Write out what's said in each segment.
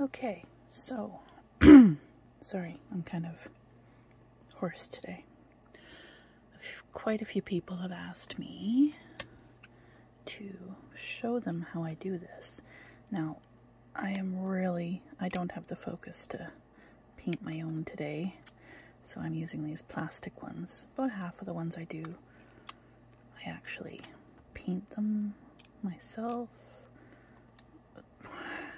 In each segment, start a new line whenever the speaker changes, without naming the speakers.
Okay, so sorry, I'm kind of hoarse today. Quite a few people have asked me to show them how I do this. Now, I am really, I don't have the focus to paint my own today, so I'm using these plastic ones. About half of the ones I do, I actually paint them myself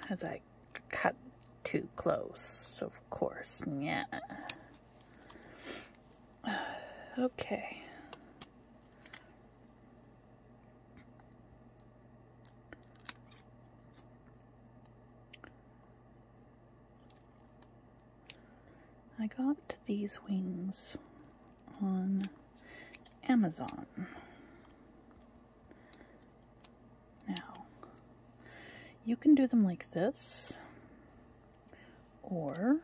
as I cut too close, of course. Yeah. Okay. I got these wings on Amazon. Now, you can do them like this, or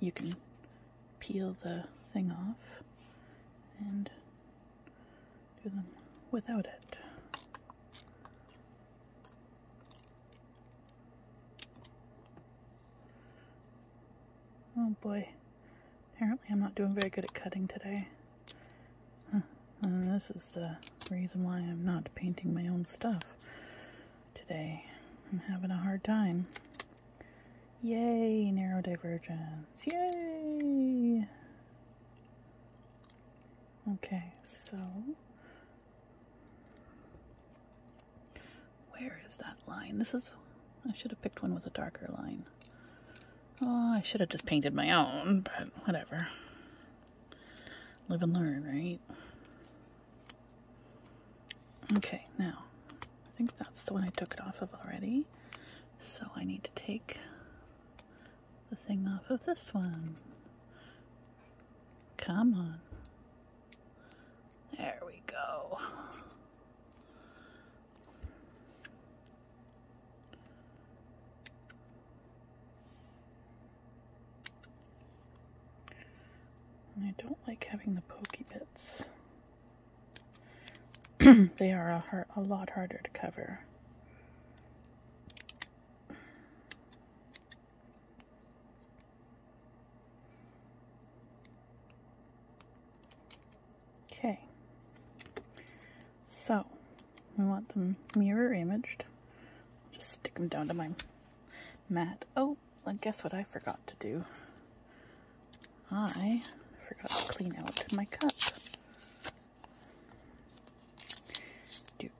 you can peel the thing off and do them without it. Oh boy, apparently I'm not doing very good at cutting today. this is the reason why I'm not painting my own stuff today. I'm having a hard time. Yay, narrow divergence. Yay! Okay, so where is that line? This is. I should have picked one with a darker line. Oh, I should have just painted my own, but whatever. Live and learn, right? Okay, now, I think that's the one I took it off of already. So I need to take the thing off of this one. Come on. There we go. I don't like having the pokey bits. they are a lot harder to cover. Okay, so we want them mirror imaged. Just stick them down to my mat. Oh, and guess what I forgot to do? I forgot to clean out my cup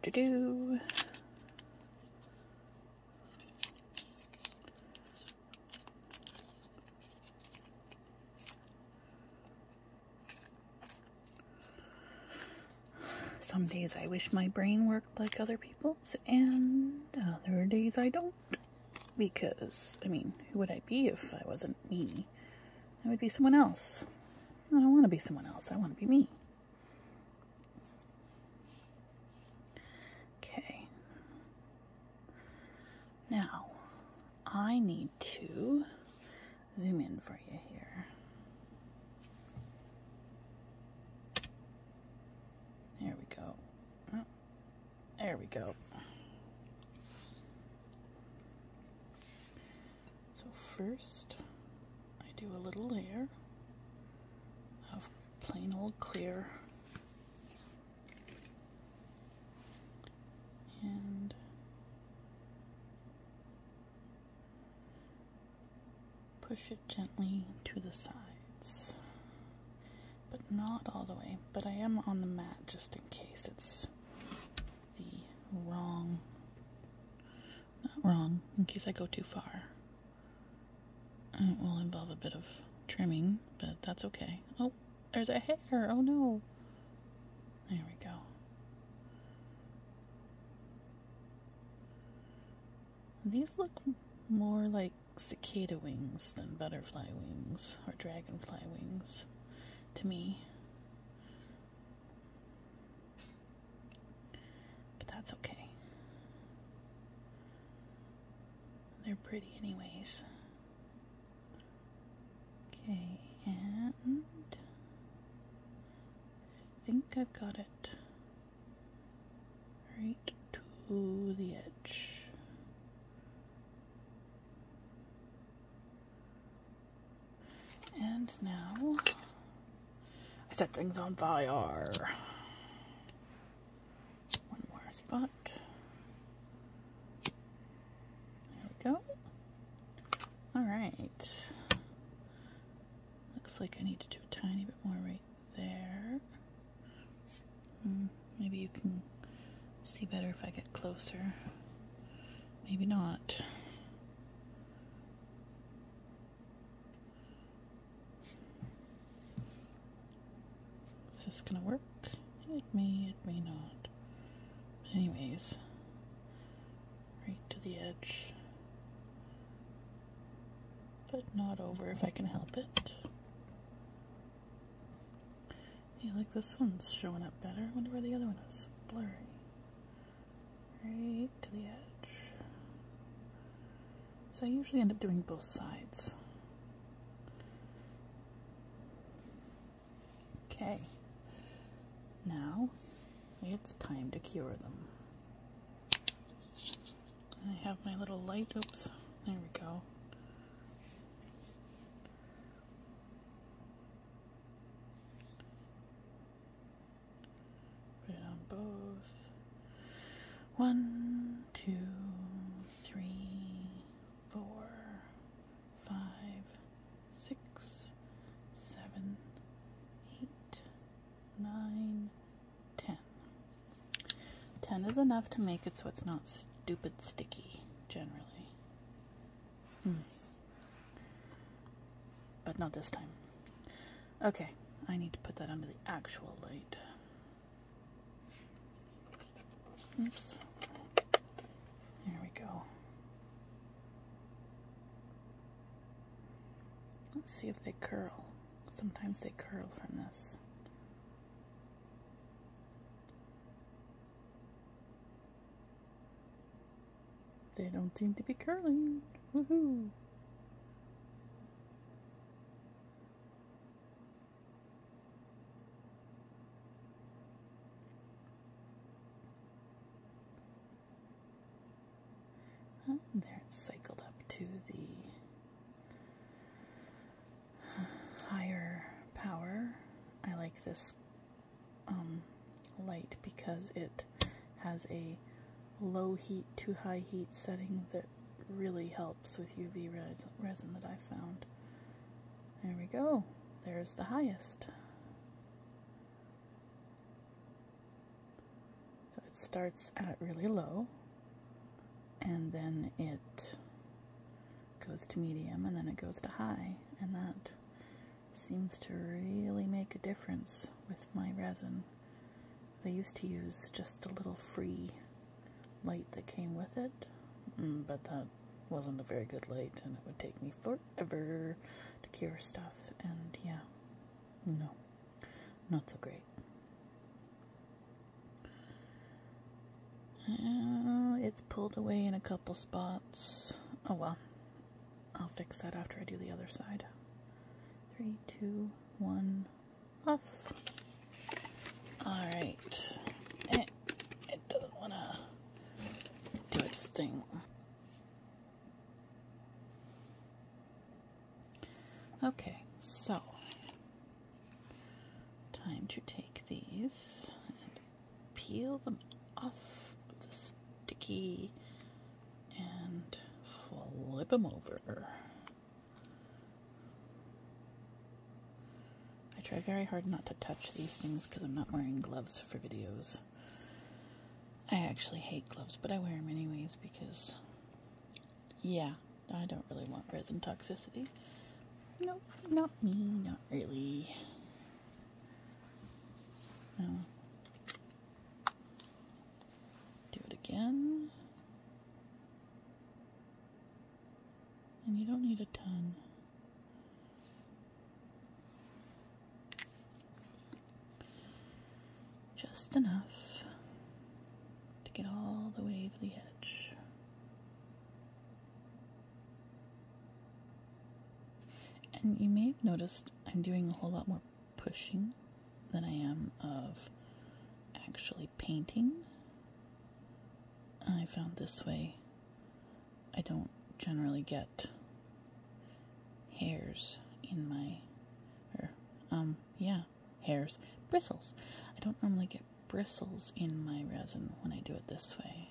do do. Some days I wish my brain worked like other people's, and other days I don't. Because, I mean, who would I be if I wasn't me? I would be someone else. I don't want to be someone else. I want to be me. Okay. Now, I need to zoom in for you here. There we go. Oh, there we go. So first, I do a little layer of plain old clear and push it gently to the sides but not all the way but I am on the mat just in case it's the wrong not wrong, in case I go too far. It uh, will involve a bit of trimming, but that's okay. Oh, there's a hair! Oh no! There we go. These look more like cicada wings than butterfly wings or dragonfly wings to me. But that's okay. They're pretty, anyways. Okay, and I think I've got it right to the edge. And now I set things on fire. One more spot. There we go. All right. Looks like I need to do a tiny bit more right there. Hmm, maybe you can see better if I get closer. Maybe not. Is this gonna work? It may, it may not. anyways, right to the edge. But not over if I can help it. Hey, like this one's showing up better. I wonder why the other one is. Blurry right to the edge. So I usually end up doing both sides. Okay, now it's time to cure them. I have my little light, oops, there we go. Put it on both. One, two, three, four, five, six, seven, eight, nine, ten. Ten is enough to make it so it's not stupid sticky, generally. Hmm. But not this time. Okay, I need to put that under the actual light. Oops. There we go. Let's see if they curl. Sometimes they curl from this. They don't seem to be curling. Woohoo! there it's cycled up to the higher power. I like this um, light because it has a low heat to high heat setting that really helps with UV resin that I found. There we go. There's the highest. So it starts at really low and then it goes to medium and then it goes to high and that seems to really make a difference with my resin. I used to use just a little free light that came with it, mm, but that wasn't a very good light and it would take me forever to cure stuff, and yeah, no, not so great. Uh, it's pulled away in a couple spots. Oh well, I'll fix that after I do the other side. Three, two, one, off. Alright. It, it doesn't want to do its thing. Okay, so time to take these peel them off of the sticky and flip them over. I try very hard not to touch these things because I'm not wearing gloves for videos. I actually hate gloves, but I wear them anyways because, yeah, I don't really want resin toxicity. Nope, not me, not really. Do it again. And you don't need a ton. Just enough to get all the way to the edge. And you may have noticed I'm doing a whole lot more pushing than I am of actually painting. I found this way I don't generally get hairs in my or er, um yeah, hairs, bristles. I don't normally get bristles in my resin when I do it this way.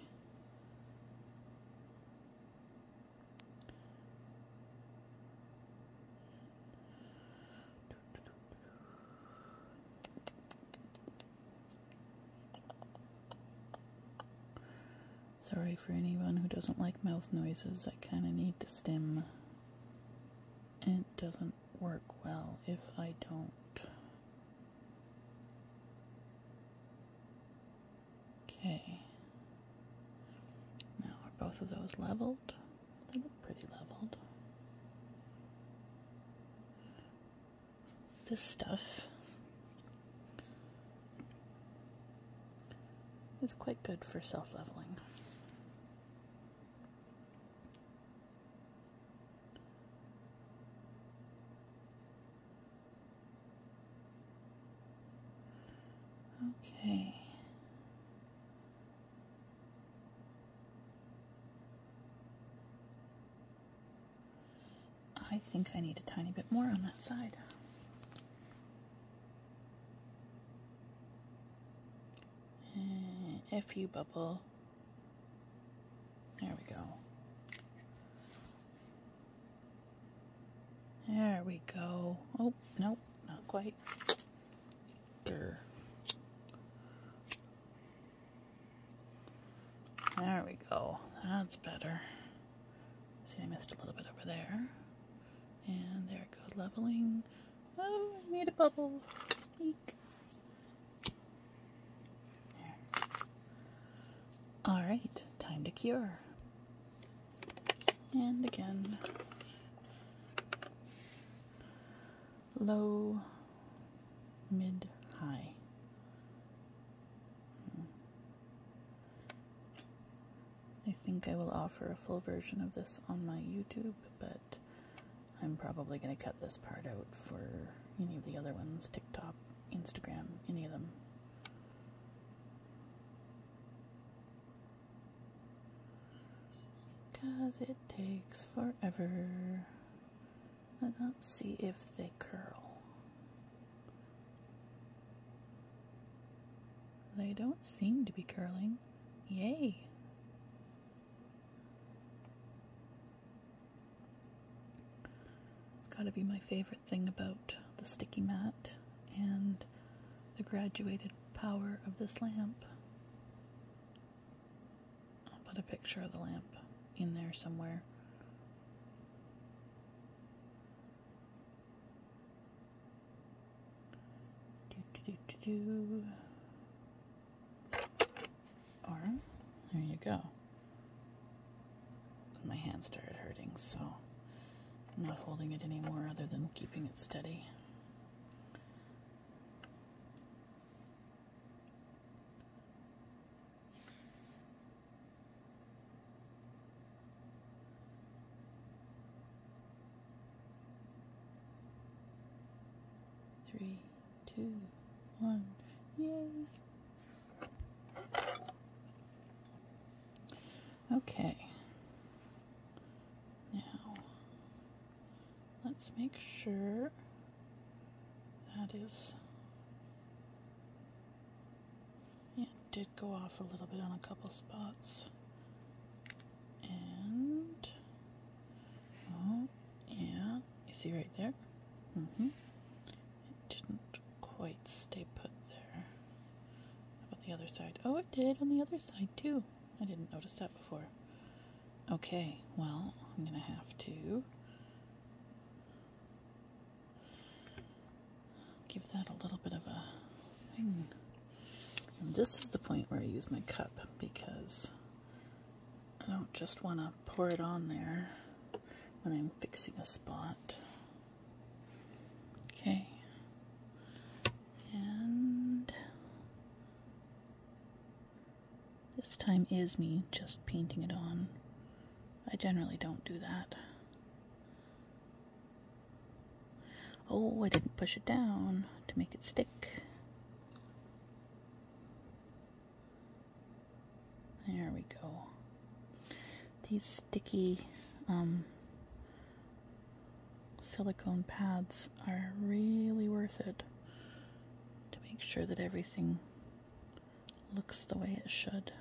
Sorry for anyone who doesn't like mouth noises, I kind of need to stem. It doesn't work well if I don't. Okay. Now, are both of those leveled? They look pretty leveled. This stuff is quite good for self leveling. Okay. I think I need a tiny bit more on that side. Uh, eh, FU bubble. There we go. There we go. Oh, no, not quite. There. There we go. That's better. See, I missed a little bit over there. And there it goes, leveling. Oh, I made a bubble. All right, time to cure. And again, low, mid, high. Hmm. I think I will offer a full version of this on my YouTube, but I'm probably going to cut this part out for any of the other ones TikTok, Instagram, any of them. Because it takes forever. Let's see if they curl. They don't seem to be curling. Yay! It's gotta be my favorite thing about the sticky mat and the graduated power of this lamp. I'll put a picture of the lamp in there somewhere. Do, do, do, do, do. there you go. My hand started hurting, so I'm not holding it anymore other than keeping it steady. Three, two, one, yay! Okay. Now, let's make sure that is. it did go off a little bit on a couple spots. And. Oh, yeah. You see right there? Mm hmm. It didn't quite stay put there. How about the other side? Oh, it did on the other side too. I didn't notice that before. Okay, well, I'm going to have to give that a little bit of a this is the point where I use my cup because I don't just want to pour it on there when I'm fixing a spot. Okay. And this time is me just painting it on. I generally don't do that. Oh, I didn't push it down to make it stick. There we go. These sticky um, silicone pads are really worth it to make sure that everything looks the way it should.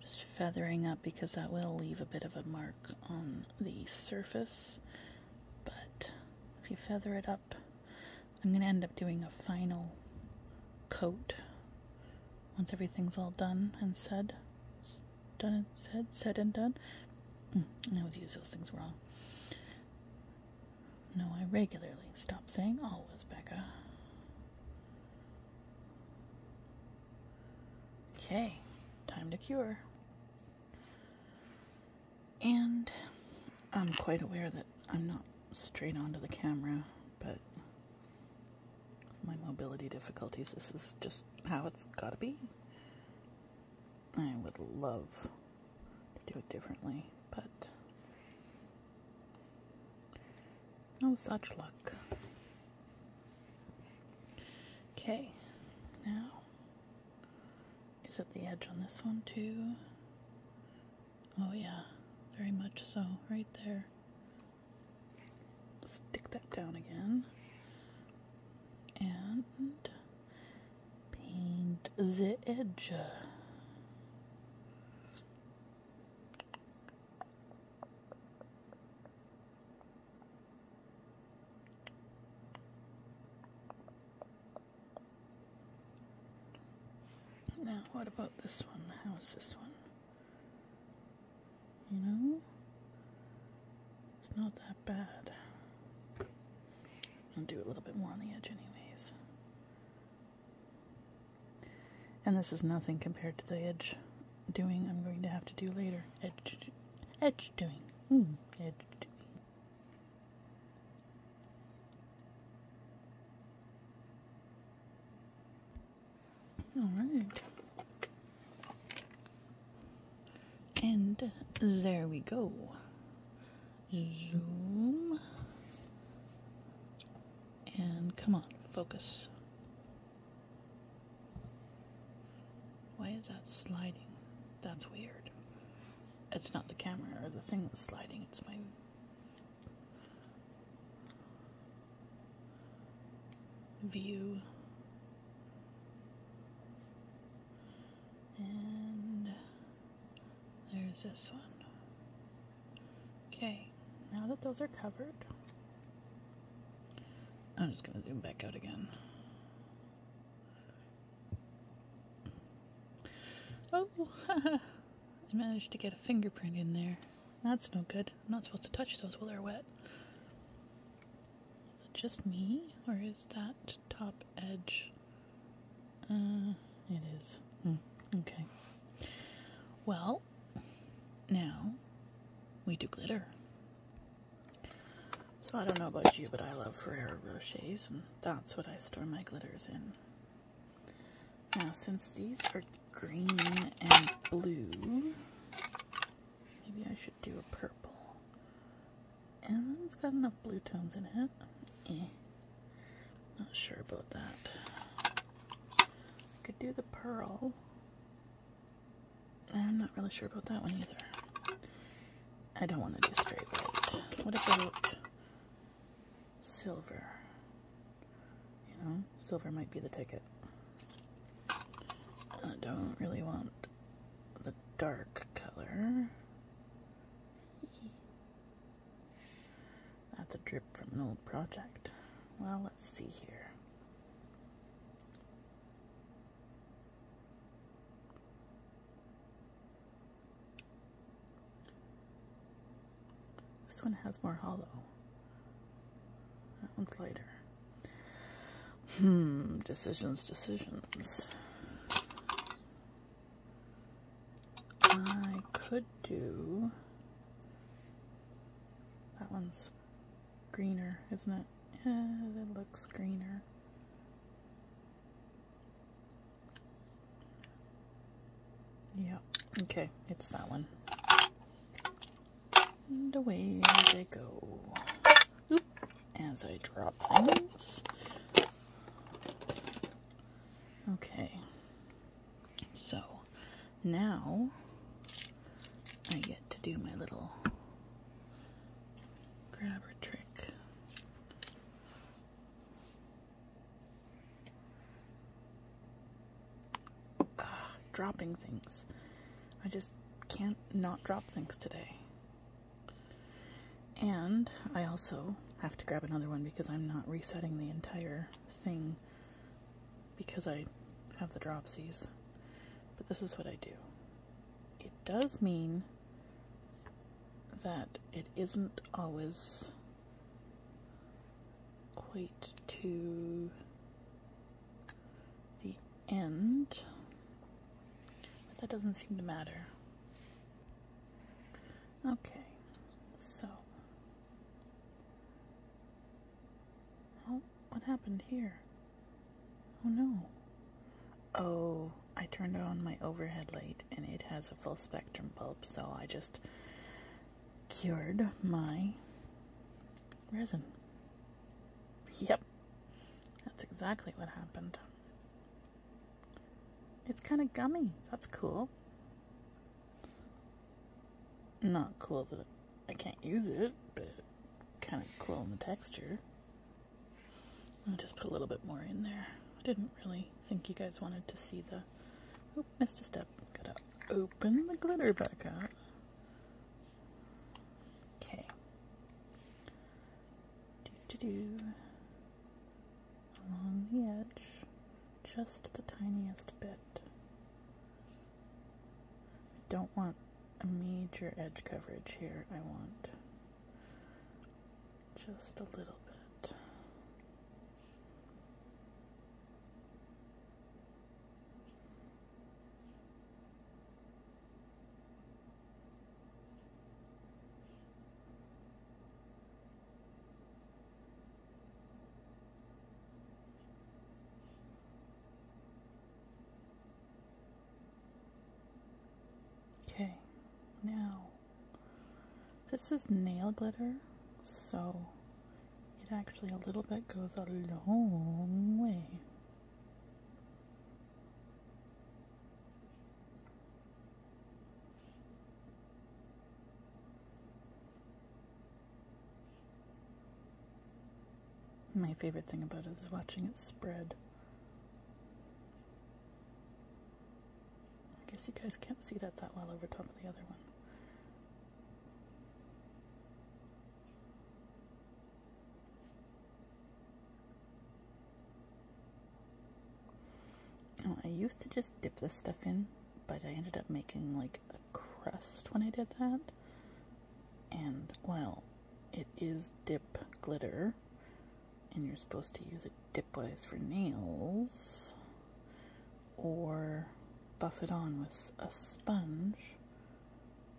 Just feathering up because that will leave a bit of a mark on the surface. But if you feather it up I'm going to end up doing a final coat once everything's all done and said. Done and said, said and done. Mm, I always use those things wrong. No, I regularly stop saying always, Becca. Okay, time to cure. And I'm quite aware that I'm not straight onto the camera but my mobility difficulties, this is just how it's gotta be. I would love to do it differently, but no oh, such luck. Okay, now is it the edge on this one too? Oh, yeah, very much so, right there. Stick that down again. And paint the edge. Now, what about this one? How is this one? You know? It's not that bad. I'll do a little bit more on the edge, anyways. And this is nothing compared to the edge doing I'm going to have to do later. Edge, edge doing. Mm, edge doing. Alright. And there we go. Zoom. And come on, focus. Why is that sliding? That's weird. It's not the camera or the thing that's sliding, it's my view. And there's this one. Okay, now that those are covered, I'm just going to zoom back out again. Oh, I managed to get a fingerprint in there. That's no good. I'm not supposed to touch those while they're wet. Is it just me, or is that top edge? Uh, it is. Hmm, okay. Well, now we do glitter. So I don't know about you, but I love Ferrero Rochers, and that's what I store my glitters in. Now, since these are green and blue, maybe I should do a purple. And it's got enough blue tones in it. Eh. Not sure about that. could do the pearl. I'm not really sure about that one either. I don't want to do straight white. What about silver. You know, silver might be the ticket. I don't really want the dark color. That's a drip from an old project. Well, let's see here. This one has more hollow. That one's lighter. Hmm, decisions, decisions. I could do. That one's greener, isn't it? Yeah, it looks greener. Yeah, okay, it's that one. And away they go. as I drop things. Okay, so now I get to do my little grabber trick dropping things. I just can't not drop things today. And I also have to grab another one because I'm not resetting the entire thing because I have the dropsies. But this is what I do. It does mean that it isn't always quite to the end, but that doesn't seem to matter. Okay, so. Oh, what happened here? Oh no. Oh, I turned on my overhead light and it has a full spectrum bulb, so I just cured my resin. Yep, that's exactly what happened. It's kind of gummy. That's cool. Not cool that I can't use it, but kind of cool in the texture. I'll just put a little bit more in there. I didn't really I think you guys wanted to see the. Oh, missed a step. Gotta open the glitter back up. Okay. Do do do. Along the edge, just the tiniest bit. I don't want a major edge coverage here. I want just a little bit. Okay, now this is nail glitter, so it actually a little bit goes a long way. My favorite thing about it is watching it spread. I guess you guys can't see that that well over top of the other one. I used to just dip this stuff in, but I ended up making like a crust when I did that. And well, it is dip glitter, and you're supposed to use a wise for nails or buff it on with a sponge,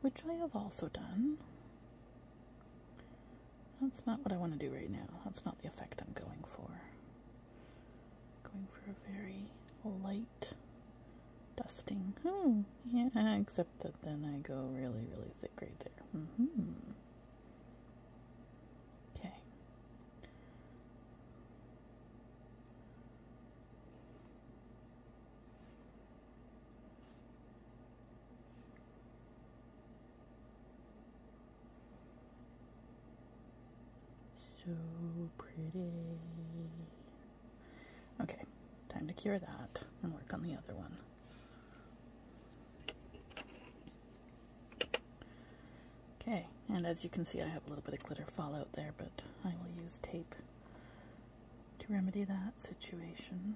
which I have also done. That's not what I want to do right now. That's not the effect I'm going for. going for a very light dusting. Oh, yeah, except that then I go really, really thick right there. -hmm. Okay. So pretty. Okay, time to cure that and work on the other one. Okay, and as you can see I have a little bit of glitter fallout there, but I will use tape to remedy that situation.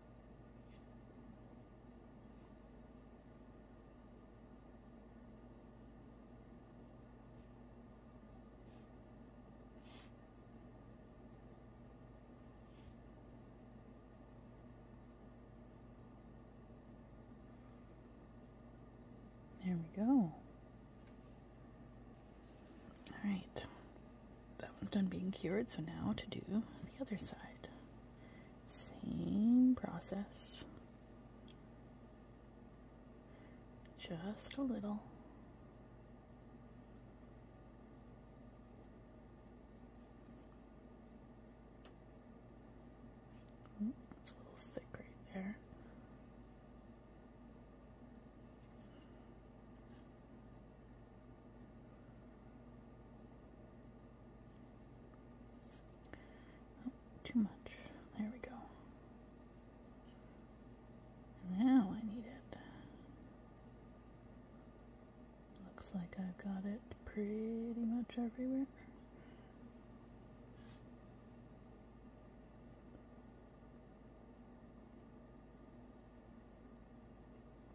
There we go. All right. That one's done being cured, so now to do the other side. Same process. Just a little. Hmm, it's a little thick right there. Oh, too much. There we go. Now I need it. Looks like I've got it pretty much everywhere.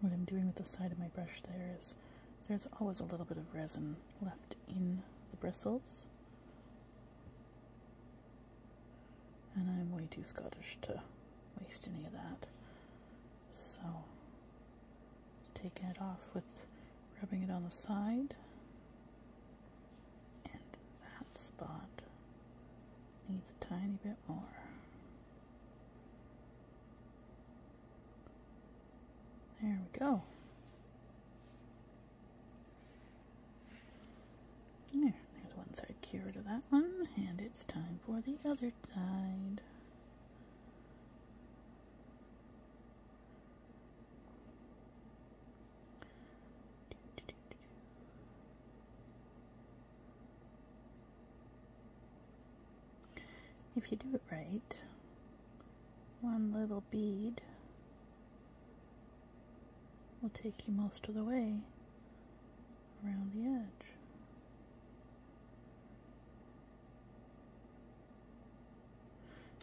What I'm doing with the side of my brush there is there's always a little bit of resin left in the bristles. And I'm way too Scottish to waste any of that. So taking it off with rubbing it on the side and that spot needs a tiny bit more there we go there, there's one side cured of that one and it's time for the other side if you do it right, one little bead will take you most of the way around the edge.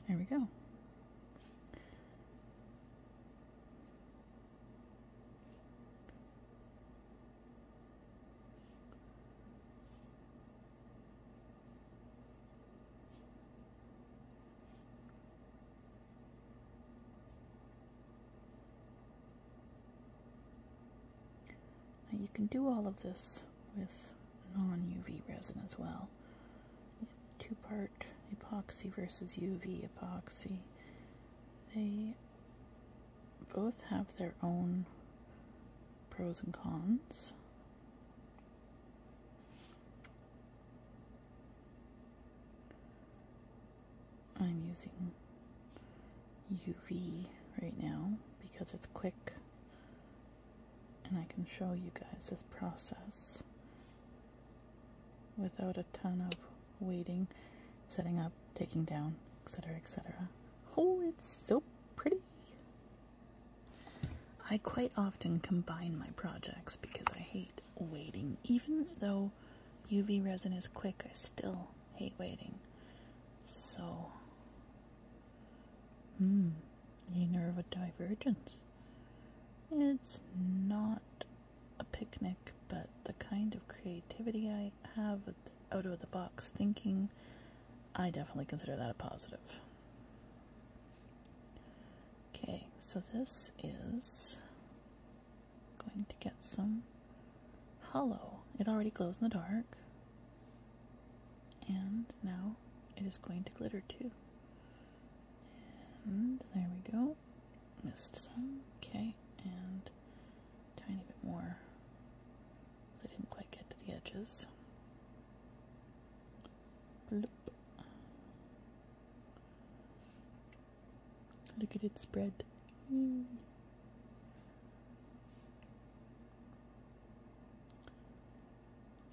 There we go. you can do all of this with non-UV resin as well. Two-part epoxy versus UV epoxy. They both have their own pros and cons. I'm using UV right now because it's quick and I can show you guys this process without a ton of waiting, setting up, taking down, etc. etc. Oh, it's so pretty! I quite often combine my projects because I hate waiting. Even though UV resin is quick, I still hate waiting. So Hmm, a divergence. It's not a picnic, but the kind of creativity I have out of the box thinking, I definitely consider that a positive. Okay, so this is going to get some hollow. It already glows in the dark. And now it is going to glitter too. And there we go. Missed some. Okay. And tiny bit more. I didn't quite get to the edges. Look at it spread.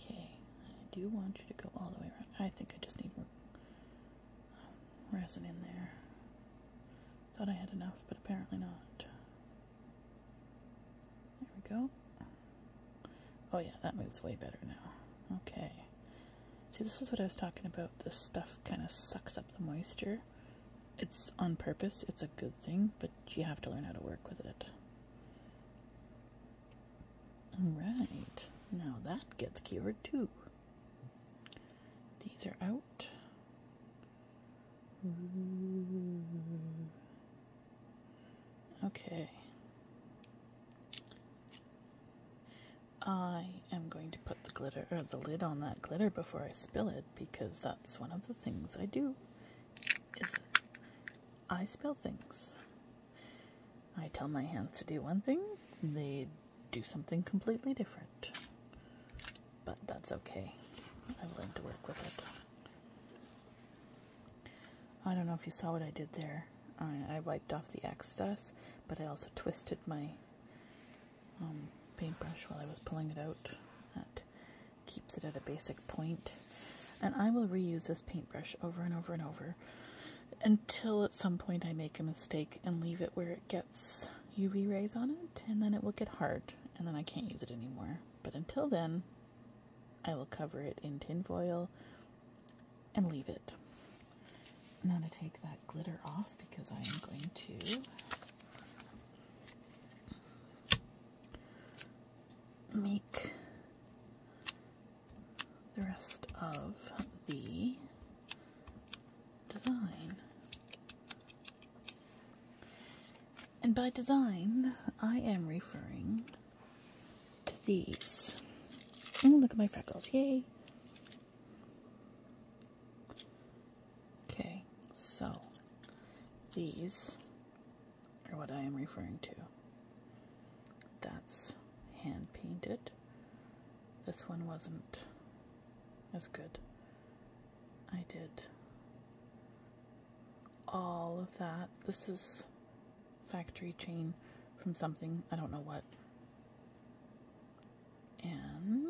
Okay, I do want you to go all the way around. I think I just need more um, resin in there. Thought I had enough, but apparently not. There we go. Oh yeah, that moves way better now. Okay. See, this is what I was talking about. This stuff kind of sucks up the moisture it's on purpose, it's a good thing, but you have to learn how to work with it. Alright, now that gets cured too. These are out. Okay. I am going to put the glitter or the lid on that glitter before I spill it because that's one of the things I do I spell things. I tell my hands to do one thing, they do something completely different. But that's okay. I've learned to work with it. I don't know if you saw what I did there. I, wiped off the excess, but I also twisted my um, paintbrush while I was pulling it out keeps it at a basic And I will reuse this paintbrush over and over and over until at some point I make a mistake and leave it where it gets UV rays on it, and then it will get hard, and then I can't use it anymore. But until then, I will cover it in tinfoil and leave it. Now to take that glitter off because I am going to make the rest of the design. And by design, I am referring to these. Oh, look at my freckles. Yay! Okay, so these are what I am referring to. That's hand painted. This one wasn't as good. I did all of that. This is factory chain from something, I don't know what. And